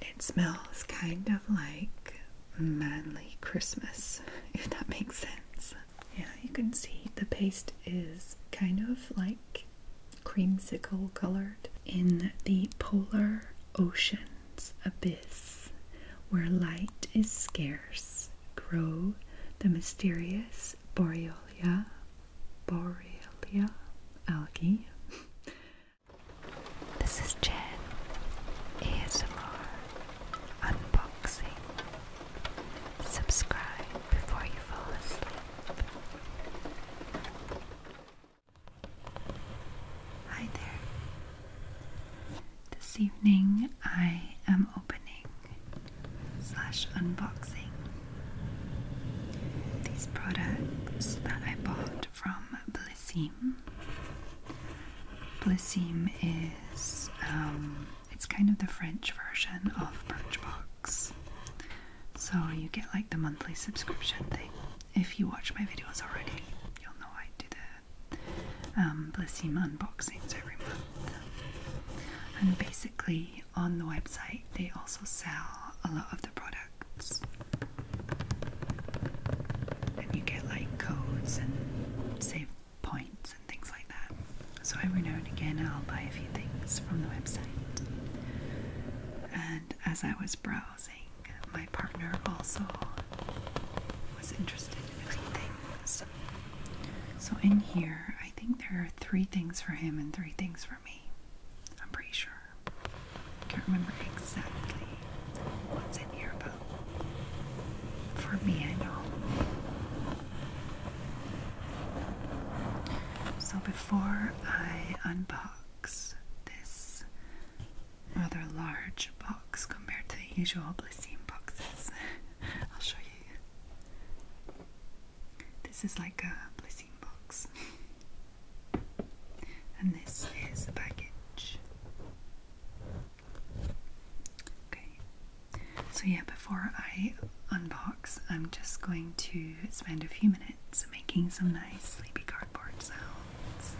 It smells kind of like manly Christmas, if that makes sense. Yeah, you can see the paste is kind of like creamsicle colored. In the polar ocean's abyss, where light is scarce grow the mysterious Borrelia, Borrelia algae. This is Jen ASMR Unboxing. Subscribe before you fall asleep. Hi there. This evening I am opening slash unboxing these products that I bought from Blissim. Blissim is um, it's kind of the French version of Birchbox. So you get like the monthly subscription thing. If you watch my videos already, you'll know I do that um, unboxings every month. And basically, on the website, they also sell a lot of the products. And you get like codes and save points and things like that. So every now and again, I'll buy a few things from the website. And as I was browsing, my partner also was interested in a few things. So, in here, I think there are three things for him and three things for me. I'm pretty sure. Can't remember exactly what's in here, but for me, I know. So, before I unbox this rather large box, box compared to the usual Blissine boxes. I'll show you. This is like a Blissine box. And this is the package. Okay. So yeah, before I unbox, I'm just going to spend a few minutes making some nice sleepy cardboard sounds.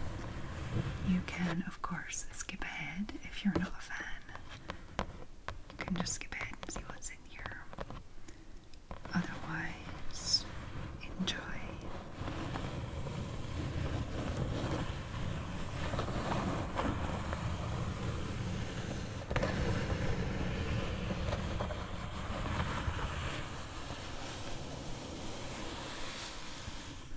You can, of course, skip ahead if you're not a fan you can just skip ahead and see what's in here. Otherwise, enjoy.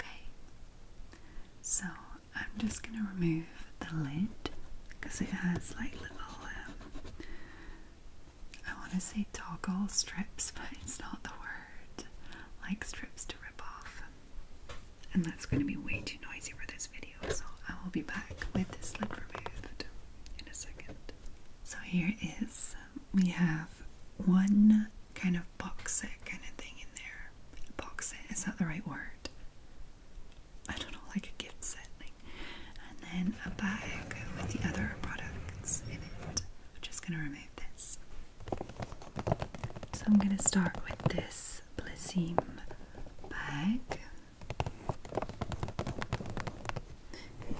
Okay, so I'm just going to remove the lid because it has like little, um, I want to say toggle strips, but it's not the word, like strips to rip off. And that's going to be way too noisy for this video so I will be back with this lid removed in a second. So here is, um, we have one kind of box set kind of thing in there. Box set, is that the right word? I don't know, like a gift set And then a bag with the other products in it. I'm just gonna remove this. So I'm gonna start with this Blissim bag.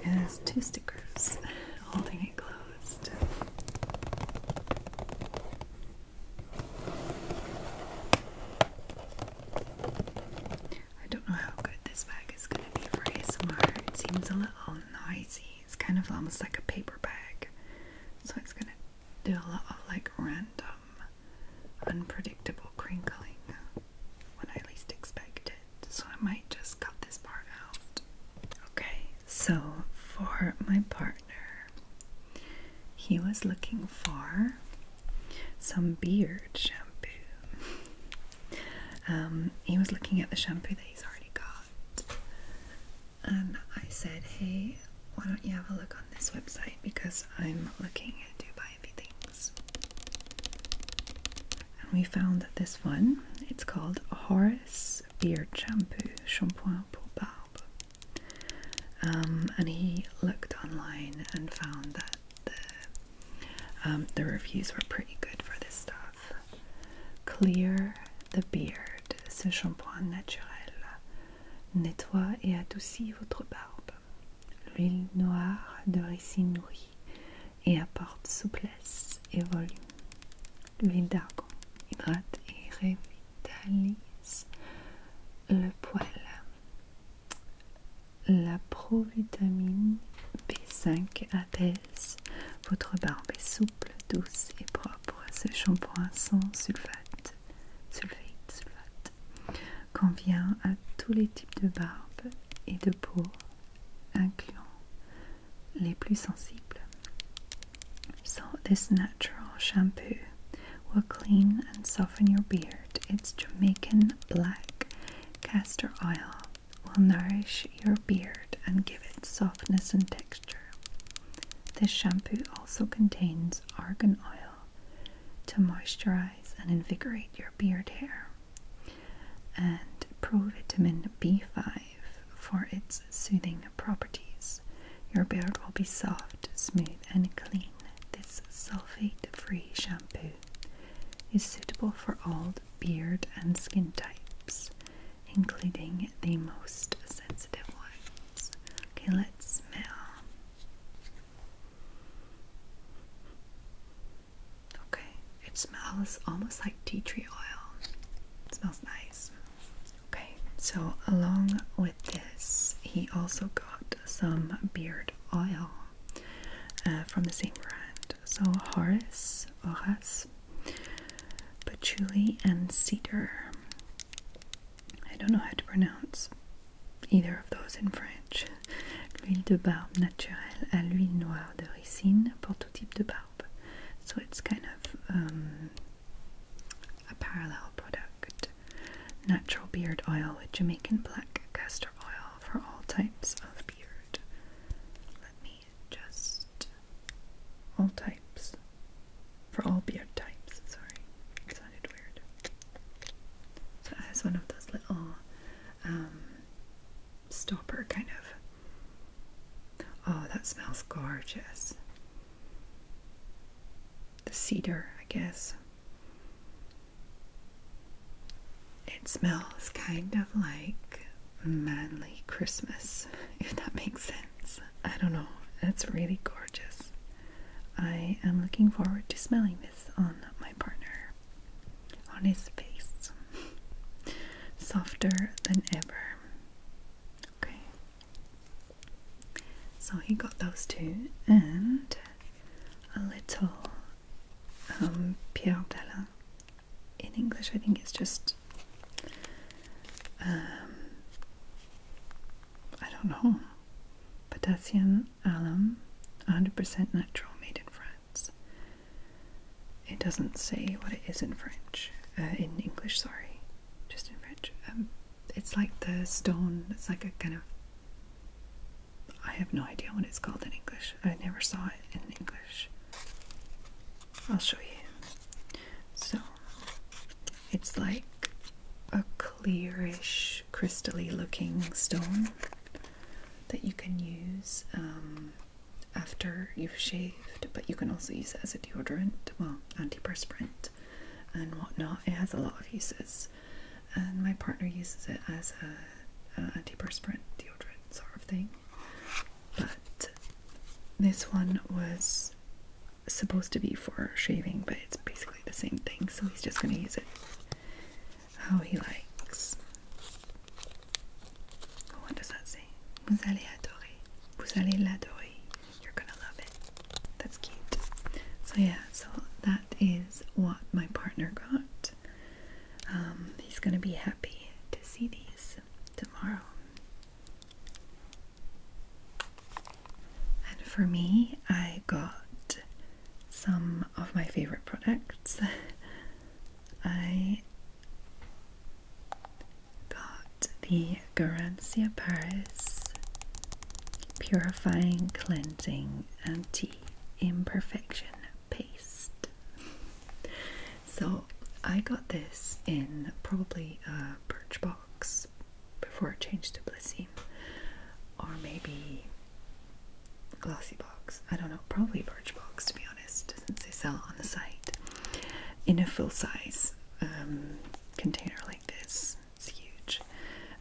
And there's two stickers holding it closed. I don't know how good this bag is going to be for ASMR. It seems a little noisy. It's kind of almost like a paper bag. So it's going to do a lot of like random unpredictable crinkling when I least expect it. So I might just cut this part out. Okay, so for my partner, he was looking for some beard shampoo. Um, he was looking at the shampoo that he's already got, and I said, Hey, why don't you have a look on this website because I'm looking at Dubai." And we found this one. It's called Horace Beard Shampoo, Shampoing pour Barbe. Um, and he looked online and found that the, um, the reviews were pretty good for this stuff. Clear the beard, ce shampoing naturel nettoie et adoucit votre barbe. L'huile noire de ricine nourrit et apporte souplesse et volume. L'huile d'argon hydrate et revitalise le poil. La provitamine B5 apaise votre barbe est souple, douce et propre. Ce shampoing sans sulfate, sulfate, sulfate convient à tous les types de barbe et de peau, incluant les plus sensibles. So, this natural shampoo will clean and soften your beard. Its Jamaican black castor oil will nourish your beard and give it softness and texture. This shampoo also contains argan oil to moisturize and invigorate your beard hair. And provitamin B5 for its soothing properties. Your beard will be soft, smooth, and clean. This sulfate free shampoo is suitable for all beard and skin types, including the most sensitive ones. Okay, let's smell. Okay, it smells almost like tea tree oil. It smells nice. Okay, so along with this, he also got some beard oil uh, from the same brand. So Horace, Horace, patchouli and cedar. I don't know how to pronounce either of those in French. L'huile de barbe naturelle à l'huile noire de ricine pour tout type de barbe. So it's kind of um, a parallel product. Natural beard oil with Jamaican black castor oil for all types of beard. Let me just. All types. For all beard types. Sorry, it sounded weird. So it one of those little um, stopper kind of. Oh, that smells gorgeous. The cedar, I guess. It smells kind of like manly Christmas, if that makes sense. I don't know. It's really gorgeous. I am looking forward to smelling this on my partner on his face, softer than ever. Okay, so he got those two and a little um, Pierre Della. In English, I think it's just um, I don't know potassium alum, 100% natural, made in France. It doesn't say what it is in French, uh, in English, sorry, just in French. Um, it's like the stone, it's like a kind of. I have no idea what it's called in English. I never saw it in English. I'll show you. So, it's like a clearish, crystally looking stone that you can use um, after you've shaved, but you can also use it as a deodorant, well, anti-perspirant, and whatnot. It has a lot of uses, and my partner uses it as a, a antiperspirant deodorant sort of thing. But this one was supposed to be for shaving, but it's basically the same thing, so he's just going to use it how he likes. What does that say? Vous allez adorer. Vous allez l'adorer. You're gonna love it. That's cute. So yeah, so that is what my partner got. Um, he's gonna be happy to see these tomorrow. And for me, I got some of my favourite products. I got the Garancia Paris Purifying Cleansing Anti Imperfection Paste. So I got this in probably a Birchbox before I changed to Blissim, or maybe Glassy box. I don't know, probably birch box to be honest, since they sell on the site. In a full size um, container like this, it's huge.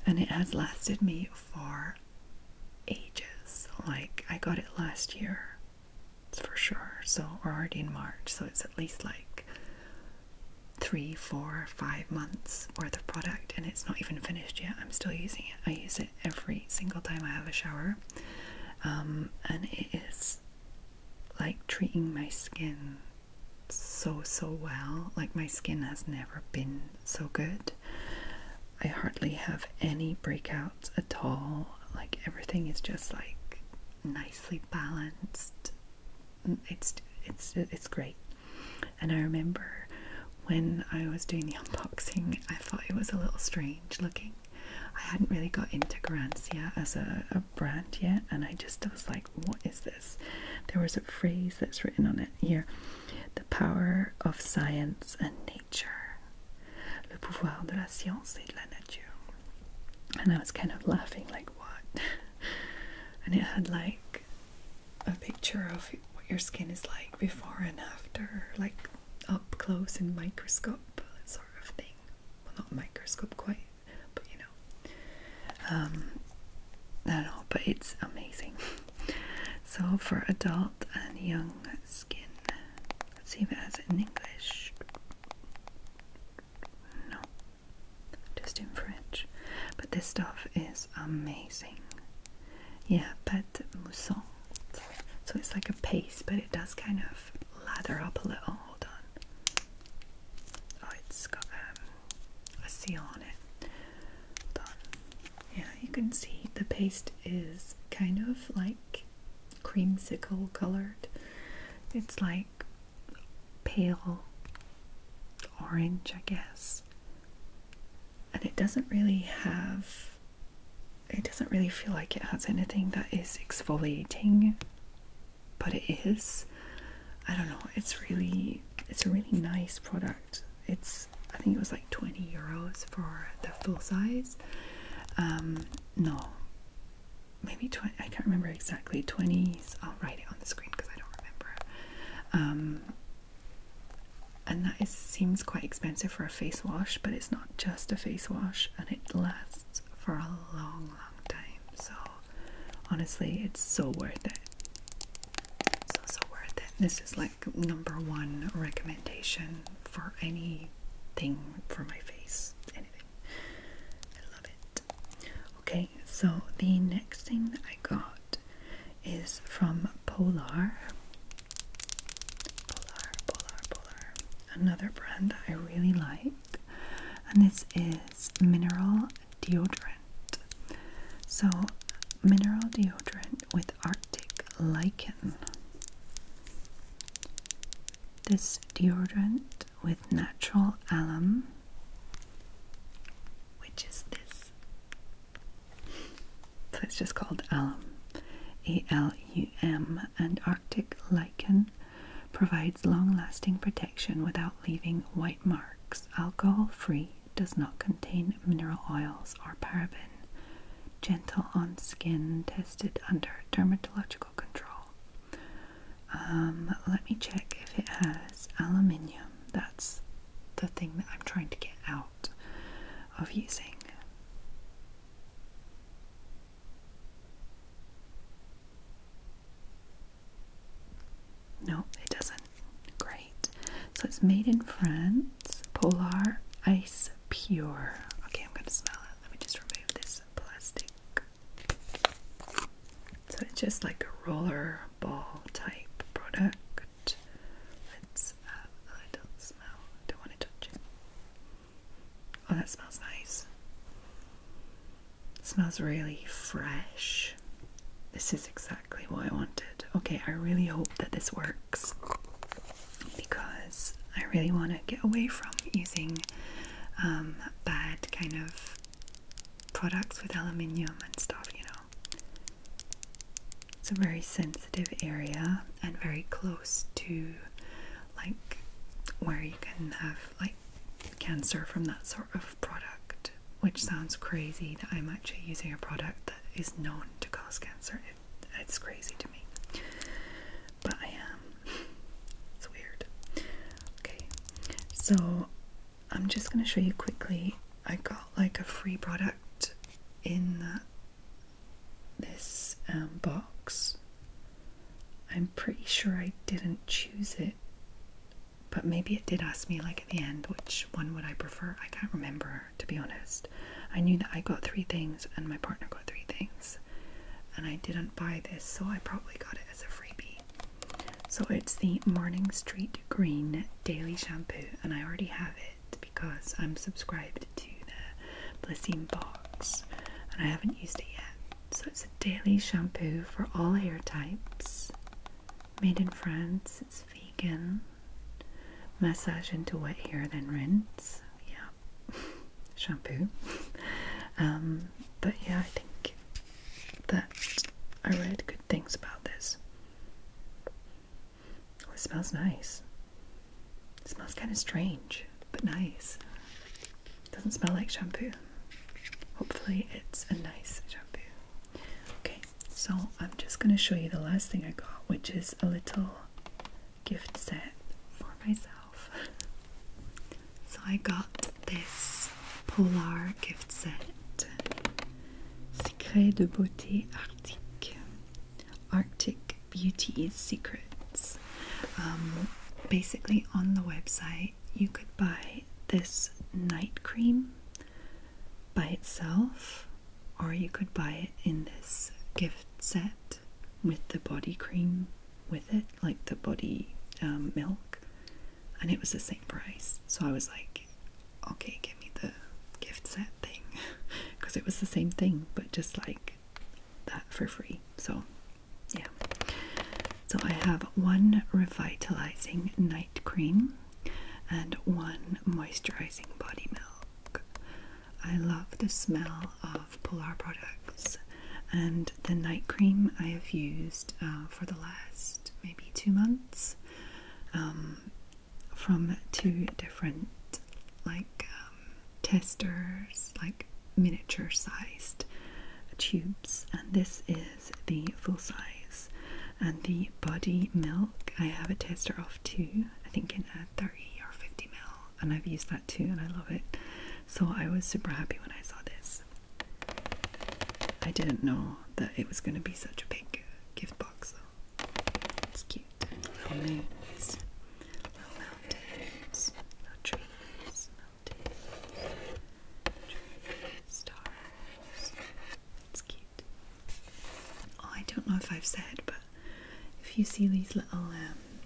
And it has lasted me for ages. Like, I got it last year, for sure. So, we're already in March, so it's at least like three, four, five months worth of product, and it's not even finished yet. I'm still using it. I use it every single time I have a shower, um, and it is like treating my skin so so well. Like my skin has never been so good. I hardly have any breakouts at all. Like everything is just like nicely balanced. It's it's it's great. And I remember when I was doing the unboxing, I thought it was a little strange looking. I hadn't really got into Garancia as a, a brand yet, and I just was like, what is this? There was a phrase that's written on it here the power of science and nature. Le pouvoir de la science et de la nature. And I was kind of laughing, like, what? and it had like a picture of what your skin is like before and after, like up close in microscope sort of thing. Well, not microscope quite, but you know. Um, I don't know, but it's amazing. so for adult and young skin, let's see if it has it in English. No, just in French. But this stuff is amazing yeah, pâte moussant. So it's like a paste, but it does kind of lather up a little. Hold on. Oh, it's got um, a seal on it. Hold on. Yeah, you can see the paste is kind of like creamsicle colored. It's like pale orange, I guess and it doesn't really have it doesn't really feel like it has anything that is exfoliating but it is i don't know it's really it's a really nice product it's i think it was like 20 euros for the full size um, no maybe 20 i can't remember exactly 20s i'll write it on the screen because i don't remember um, and that seems quite expensive for a face wash, but it's not just a face wash, and it lasts for a long, long time. So honestly, it's so worth it. So so worth it. This is like number one recommendation for anything for my face. Anything. I love it. Okay, so the next thing that I got is from Polar. Polar, Polar, Polar. Another brand I really like. And this is Mineral Deodorant. So, Mineral Deodorant with Arctic Lichen. This deodorant with natural alum, which is this so it's just called alum. ALUM and Arctic lichen provides long lasting protection without leaving white marks. Alcohol free, does not contain mineral oils or paraben. Gentle on skin, tested under dermatological control. Um, let me check if it has aluminium. That's the thing that I'm trying to get out of using. No, it doesn't. Great. So it's made in France. Polar Ice Pure. Okay, I'm going to smell it. Let me just remove this plastic. So it's just like a roller ball type product let's have a little smell. Don't want to touch it. Oh, that smells nice. It smells really fresh. This is exactly what I wanted. Okay, I really hope that this works because I really want to get away from using um, bad kind of products with aluminium and stuff, you know. It's a very sensitive area and very close to like where you can have like cancer from that sort of product, which sounds crazy that I'm actually using a product that is known to cause cancer. it's crazy to me. But I am. It's weird. Okay, so I'm just going to show you quickly. I got like a free product in this um, box. I'm pretty sure I didn't choose it, but maybe it did ask me, like at the end, which one would I prefer? I can't remember, to be honest. I knew that I got three things and my partner got three things, and I didn't buy this, so I probably got it as a freebie. So it's the Morning Street Green Daily Shampoo, and I already have it because I'm subscribed to the Blissine box and I haven't used it yet. So it's a daily shampoo for all hair types. Made in France, it's vegan. Massage into wet hair, then rinse. Yeah, shampoo. Um, but yeah, I think that I read good things about this. Oh, it smells nice. It smells kind of strange, but nice. It doesn't smell like shampoo. Hopefully, it's a nice shampoo. Okay, so I'm just going to show you the last thing I got, which is a little gift set for myself. so I got this Polar gift set Secret de Beauté Arctique. Arctic Beauty's Secrets. Um, basically, on the website, you could buy this night cream by itself, or you could buy it in this gift set with the body cream with it, like the body um, milk, and it was the same price. So I was like, okay, give me the gift set thing. because it was the same thing, but just like that for free. So, yeah. So, I have one revitalizing night cream and one moisturizing body milk. I love the smell of Polar products, and the night cream I have used uh, for the last maybe two months. Um, from two different like um, testers, like miniature sized tubes, and this is the full size. And the body milk, I have a tester of two, I think in a 30 or 50 ml, and I've used that too, and I love it. So I was super happy when I saw this. I didn't know that it was going to be such a big gift box, though. It's cute cute. Mountains, little mountains, little trees, mountains, stars. It's cute. Oh, I don't know if I've said, but if you see these little um,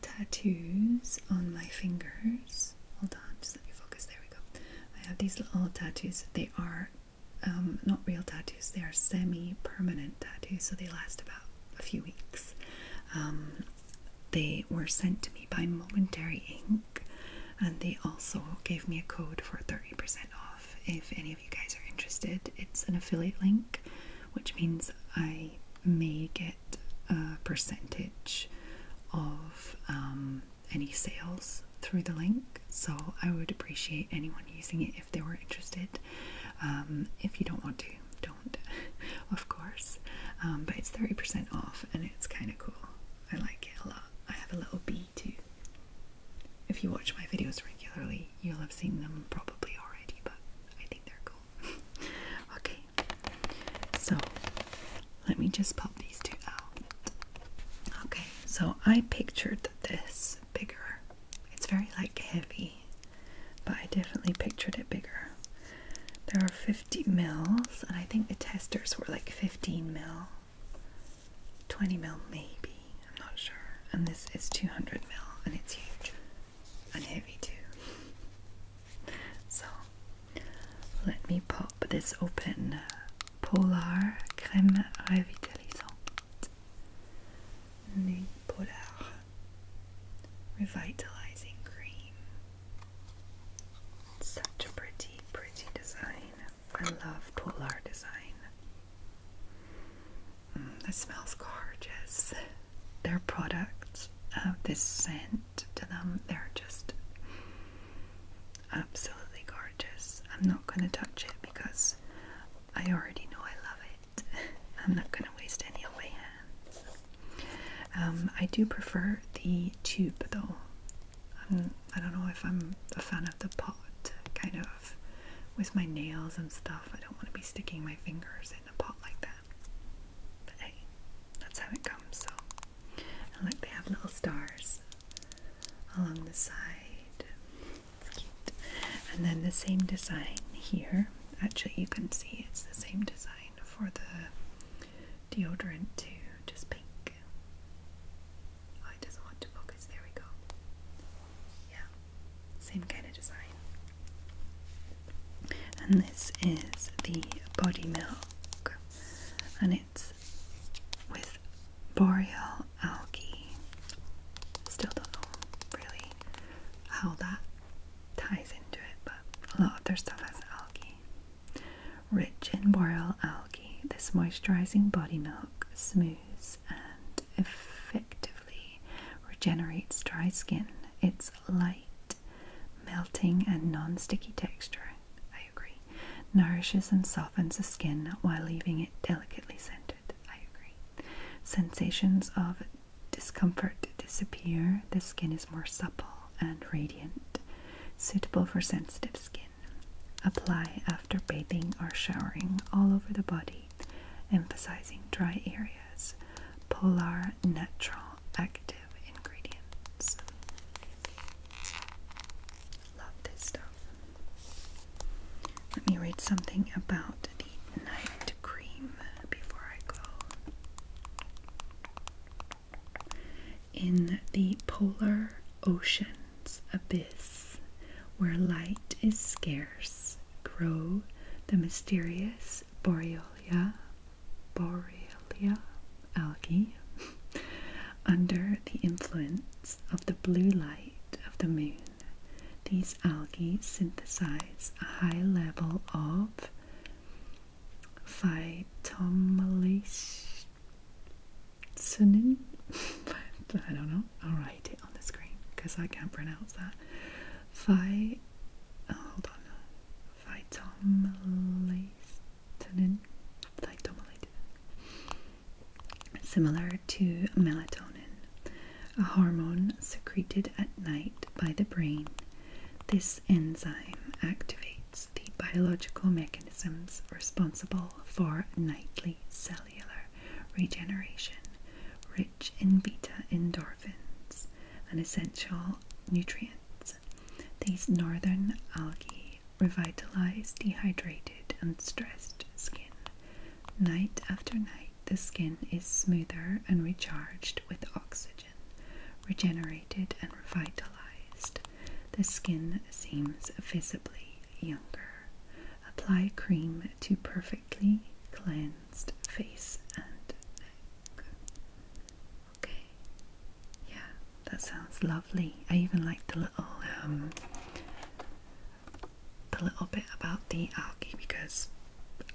tattoos on my fingers, hold on, just let me focus. There we go. I have these little tattoos. They are um, not real tattoos, they are semi permanent tattoos, so they last about a few weeks. Um, they were sent to me by Momentary Ink, and they also gave me a code for 30% off if any of you guys are interested. It's an affiliate link, which means I may get a percentage of um, any sales through the link. So I would appreciate anyone using it if they were interested. Um, if you don't want to, don't, of course. Um, but it's 30% off and it's kind of cool. I like it a lot. I have a little bee too. If you watch my videos regularly, you'll have seen them probably already, but I think they're cool. okay, so let me just pop these two out. Okay, so I pictured this bigger. It's very like heavy, but I definitely pictured it bigger. There are 50 mils, and I think the testers were like 15 mil, 20 mil maybe, I'm not sure. And this is 200 mil, and it's huge and heavy too. So let me pop this open. Polar Crème Revitalisante. Nude Revitalizing Cream. Such a pretty, pretty design. I love Polar design. Mm, that smells gorgeous. Their products, have uh, this scent to them, they're just absolutely gorgeous. I'm not going to touch it because I already know I love it. I'm not going to waste any of um, I do prefer the tube though. I'm, I do not know if I'm a fan of the pot, kind of, with my nails and stuff. I don't want to be sticking my fingers in a pot like that. But hey, that's how it comes. So, and look, they have little stars along the side. And then the same design here. Actually, you can see it's the same design for the deodorant too, just pink. Oh, it doesn't want to focus. There we go. Yeah, same kind of design. And this is the body milk, and it's with Boreal algae. Still don't know really how that ties into it, but a lot of their stuff has algae. Rich in boreal algae, this moisturizing body milk smooths and effectively regenerates dry skin. It's light, melting, and non sticky texture. I agree. Nourishes and softens the skin while leaving it delicately scented. I agree. Sensations of discomfort disappear. The skin is more supple and radiant, suitable for sensitive skin. Apply after bathing or showering all over the body, emphasizing dry areas. Polar natural active ingredients. Love this stuff. Let me read something about the night cream before I go. In the polar ocean's abyss, where light is scarce, grow the mysterious Borrelia, Borrelia algae under the influence of the blue light of the moon. These algae synthesize a high level of phytomycinin. I don't know. I'll write it on the screen because I can't pronounce that. Phy. Oh, hold on. Phytomycinin. Phytomycinin similar to melatonin, a hormone secreted at night by the brain. This enzyme activates the biological mechanisms responsible for nightly cellular regeneration, rich in beta endorphins, an essential nutrient. These northern algae revitalize dehydrated and stressed skin, Night after night, the skin is smoother and recharged with oxygen, regenerated and revitalized. The skin seems visibly younger. Apply cream to perfectly cleansed face and neck. Okay, yeah, that sounds lovely. I even like the little um, a little bit about the algae because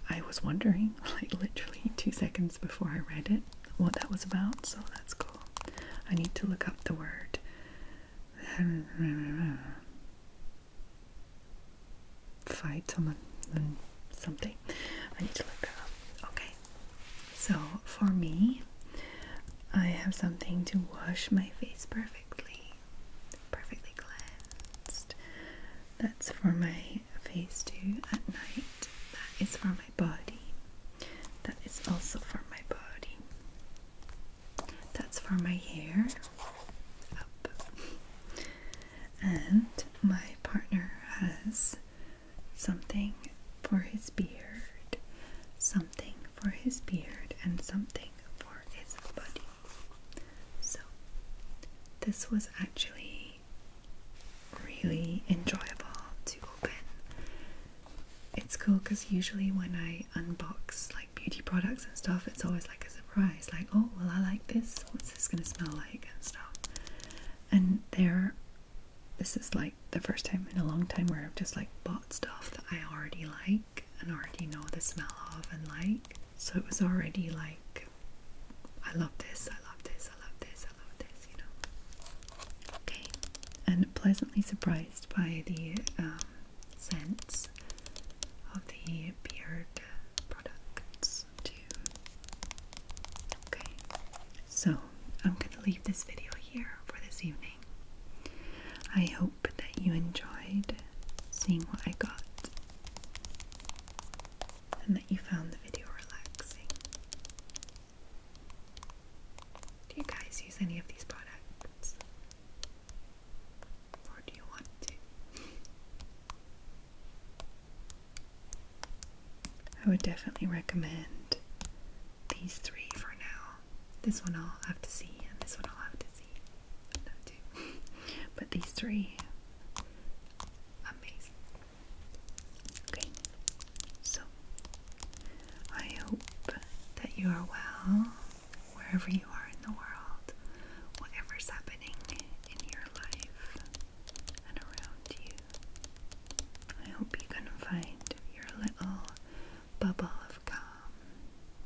I was wondering, like literally two seconds before I read it, what that was about. So that's cool. I need to look up the word. Phytum something. I need to look that up. Okay. So for me, I have something to wash my face perfectly perfectly cleansed. That's for my face too at night. That is for my body. That is also for my body. That's for my hair. Up. And my partner has something for his beard, something for his beard, and something for his body. So, this was actually really enjoyable to open. It's cool because usually when I unbox like beauty products and stuff, it's always like a surprise like, oh, well, I like this. What's this going to smell like? And stuff. And there, this is like the first time in a long time where I've just like bought stuff that I already like and already know the smell of and like. So it was already like, I love this, I love this, I love this, I love this, you know. Okay, and pleasantly surprised by the um, scents of the beard products too. Okay, so I'm gonna leave this video here for this evening. I hope that you enjoyed seeing what I got and that you found the video relaxing. Do you guys use any of these products? Or do you want to? I would definitely recommend these three for now. This one I'll have to see, and this one I'll have to see. but these three amazing. Okay, so I hope that you are well wherever you are in the world, whatever's happening in your life and around you. I hope you can find your little bubble of calm